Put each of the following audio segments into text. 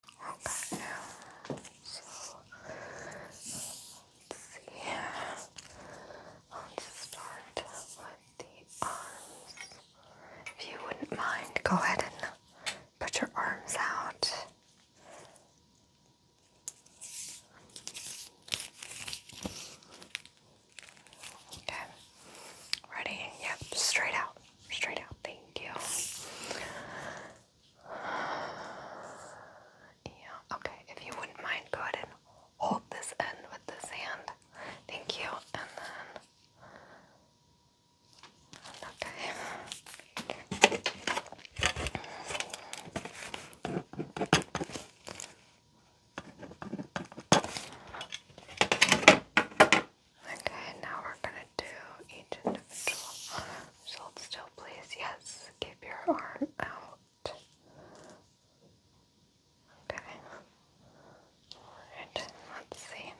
Okay. So let's see. I'll start with the arms. If you wouldn't mind, go ahead and put your arms out. Okay. Ready? Yep, straight out. Straight out, thank you. Yeah, okay, if you wouldn't mind, go ahead and hold this end with this hand. Thank you, and then. Okay. Okay, now we're gonna do each individual. still, please. Yes, keep your arm out. Okay. Alright, let's see.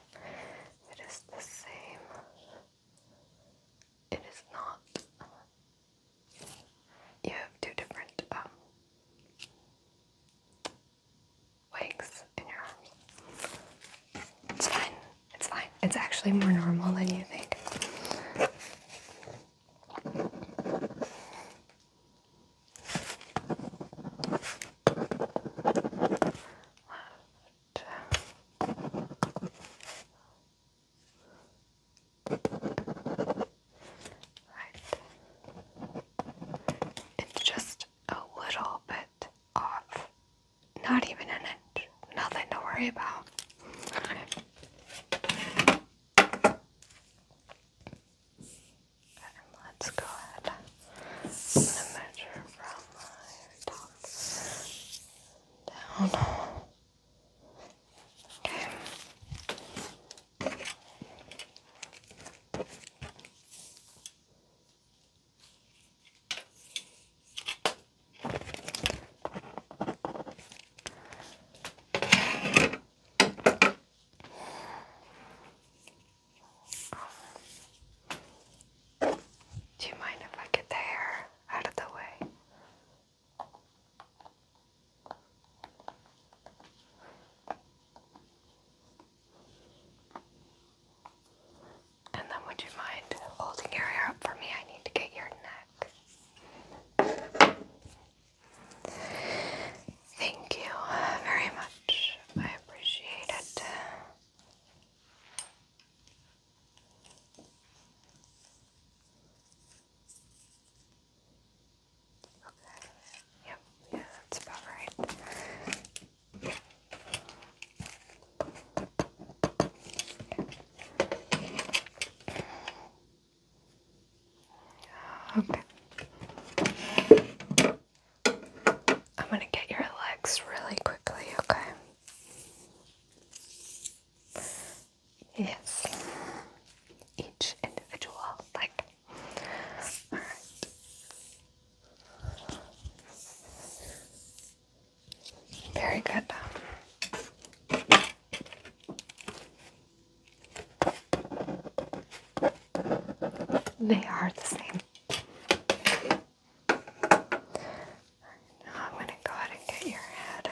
It is the same. It is not. You have two different um, wakes in your arms. It's fine. It's fine. It's actually more normal than you think. Right. It's just a little bit off. Not even an inch. Nothing to worry about. let's go ahead and measure from my top down. Okay. Do you mind if I get the hair out of the way? And then would you mind holding your hair up for me? I need to get your neck. Thank you very much. I appreciate it. Okay. Yep, yeah, that's about right. Okay. I'm going to get your legs really quickly, okay? Yes. Each individual leg. Very good. They are the same. Now I'm going to go ahead and get your head.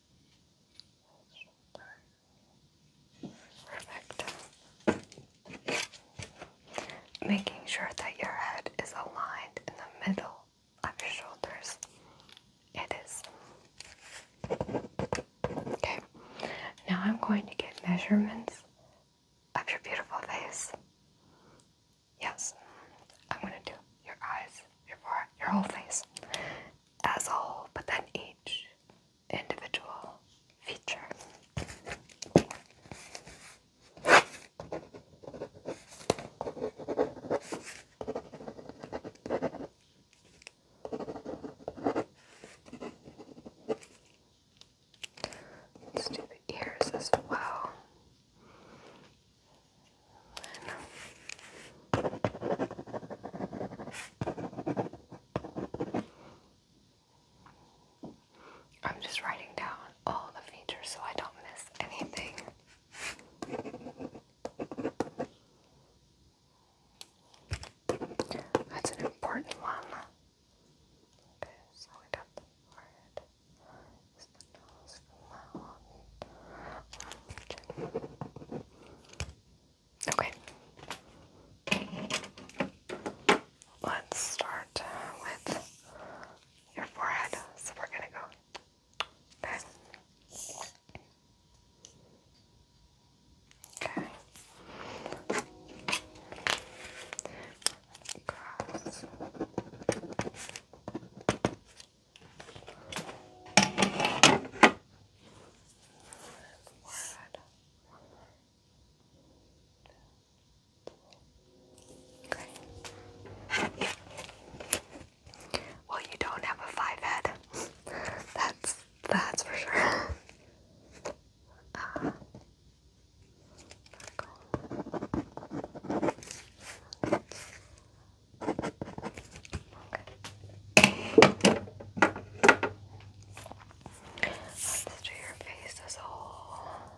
Perfect. Making sure that your head is aligned in the middle of your shoulders. It is. Okay, now I'm going to get measurements of your beautiful face. Yes, I'm gonna do your eyes, your forehead, your whole face as a but then each individual feature. Let's do the ears as well. I'm just writing down all the features so I don't miss anything. That's an important one. Okay, so we got the forehead. Okay. Let's start with your forehead. So we're gonna go Okay. Well, you don't have a five head. That's that's for sure. Uh, Let's do your face as a whole.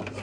Okay.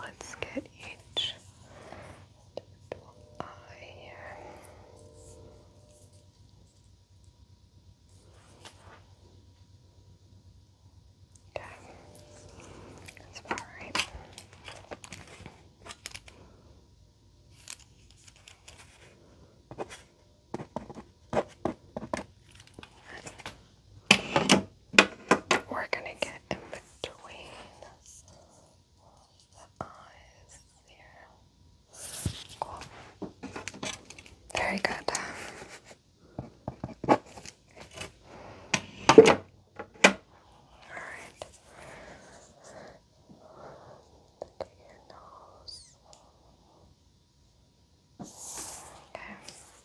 let's get each eye here. Okay, that's all right. We're going to get in between the eyes here. Very good. Alright. Look your nose. Okay.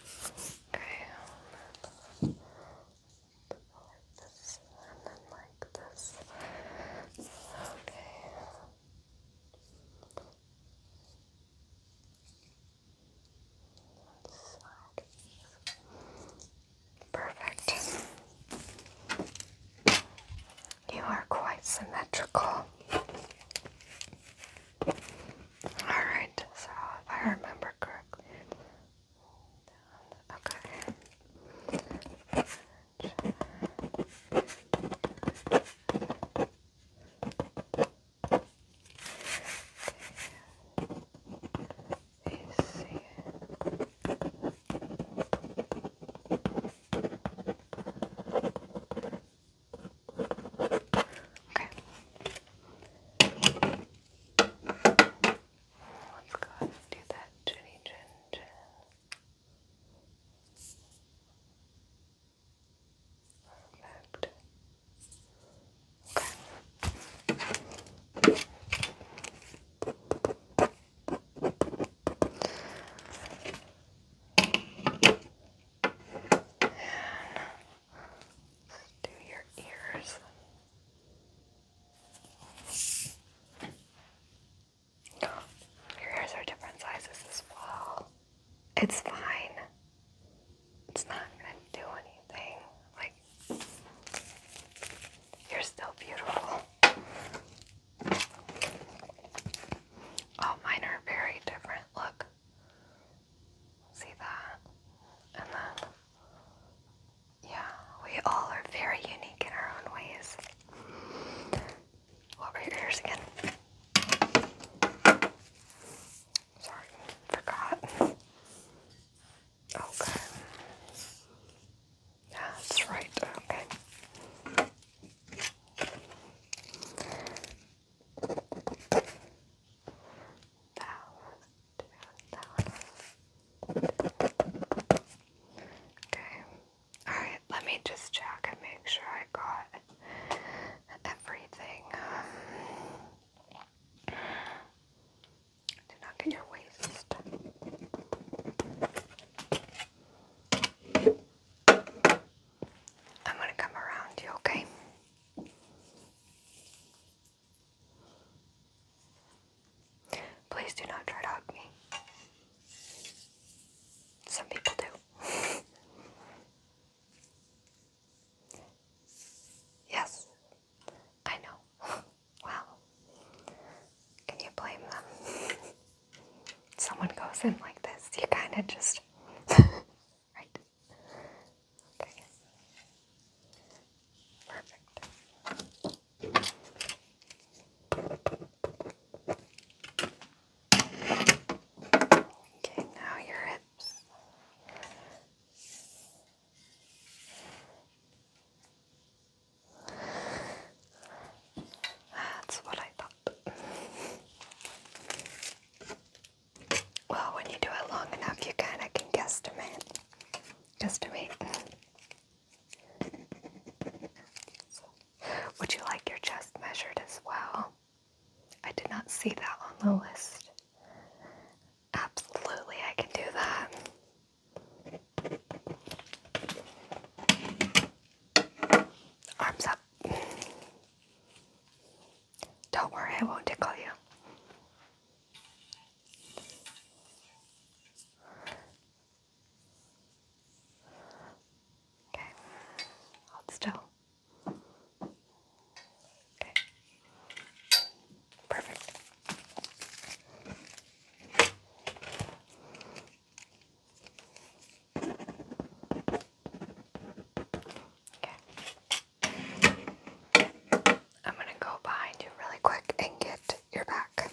Okay, like this, and then like this. Okay. Perfect. You are quite symmetrical. Alright, so if I remember correctly, okay. Okay. Okay. Let's go ahead and do that Perfect. Okay do your ears. Your ears are different sizes as well. It's fine. It's not gonna do anything. Like you're still beautiful. Oh, mine are very different. Look. See that? And then, yeah, we all are very unique in our own ways. What were yours again? Sorry, forgot. Okay. Oh, yeah, that's right. Okay. Okay. Alright, let me just check and make sure I got everything. do not get your waist. I'm gonna come around you, okay? Please do not try to hug me. Some people do. yes, I know. wow. Can you blame them? someone goes in like this, you kind of just, right? Okay. Perfect. Okay, now your hips. That's what I thought. well, when you do it long enough, you kind of can guesstimate. Guesstimate. would you like your chest measured as well? I did not see that on the list. Absolutely, I can do that. Arms up. Don't worry, I won't tickle you. Okay, hold still. Okay, perfect. Okay. I'm going to go behind you really quick and get your back.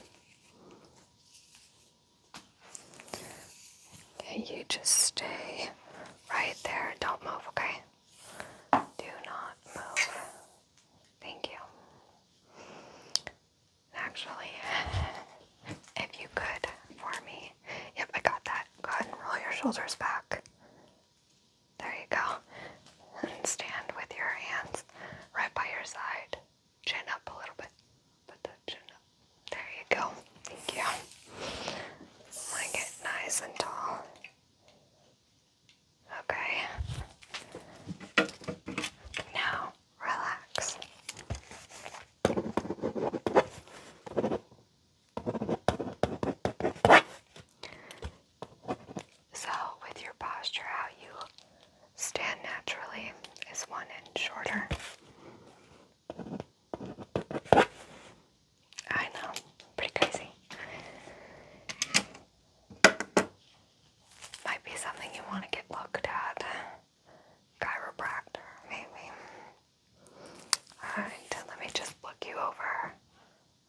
Okay, you just stay right there. Don't move, okay? Do not move. Thank you actually, if you could for me. Yep, I got that. Go ahead and roll your shoulders back. There you go. And stand with your hands right by your side. Chin up a little bit. Put the chin up. There you go. Thank you. Like it nice and tall. Okay. Now relax. So, with your posture, how you stand naturally is one inch shorter. I know, pretty crazy. Might be something you want to get looked at. Chiropractor, maybe. Alright, let me just look you over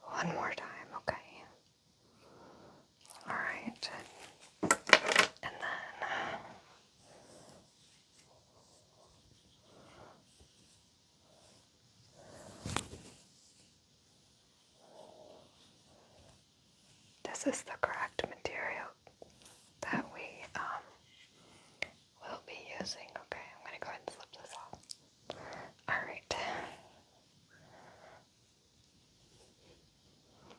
one more time, okay? Alright. And then. This is the correct material that we um, will be using. Okay, I'm going to go ahead and slip this off. Alright.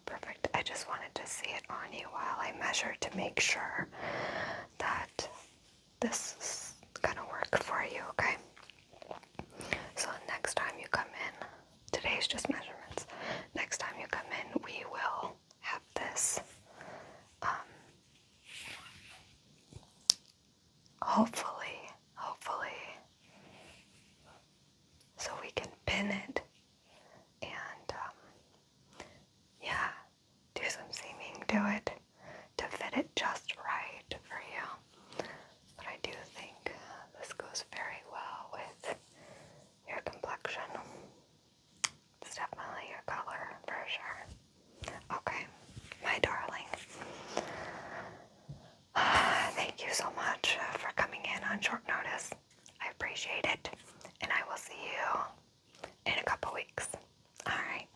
Perfect. I just wanted to see it on you while I measure to make sure that this is going to work for you, okay? So next time you come in, today's just measurements. Next time you come in, we will have this. Um, hopefully, hopefully, so we can pin it and, um, yeah, do some seaming Do it to fit it just right for you. But I do think uh, this goes very well with your complexion. It's definitely your color for sure. Okay, my darling. thank you so much uh, for coming in on short notice. I appreciate it. And I will see you in a couple weeks. Alright.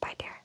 Bye, dear.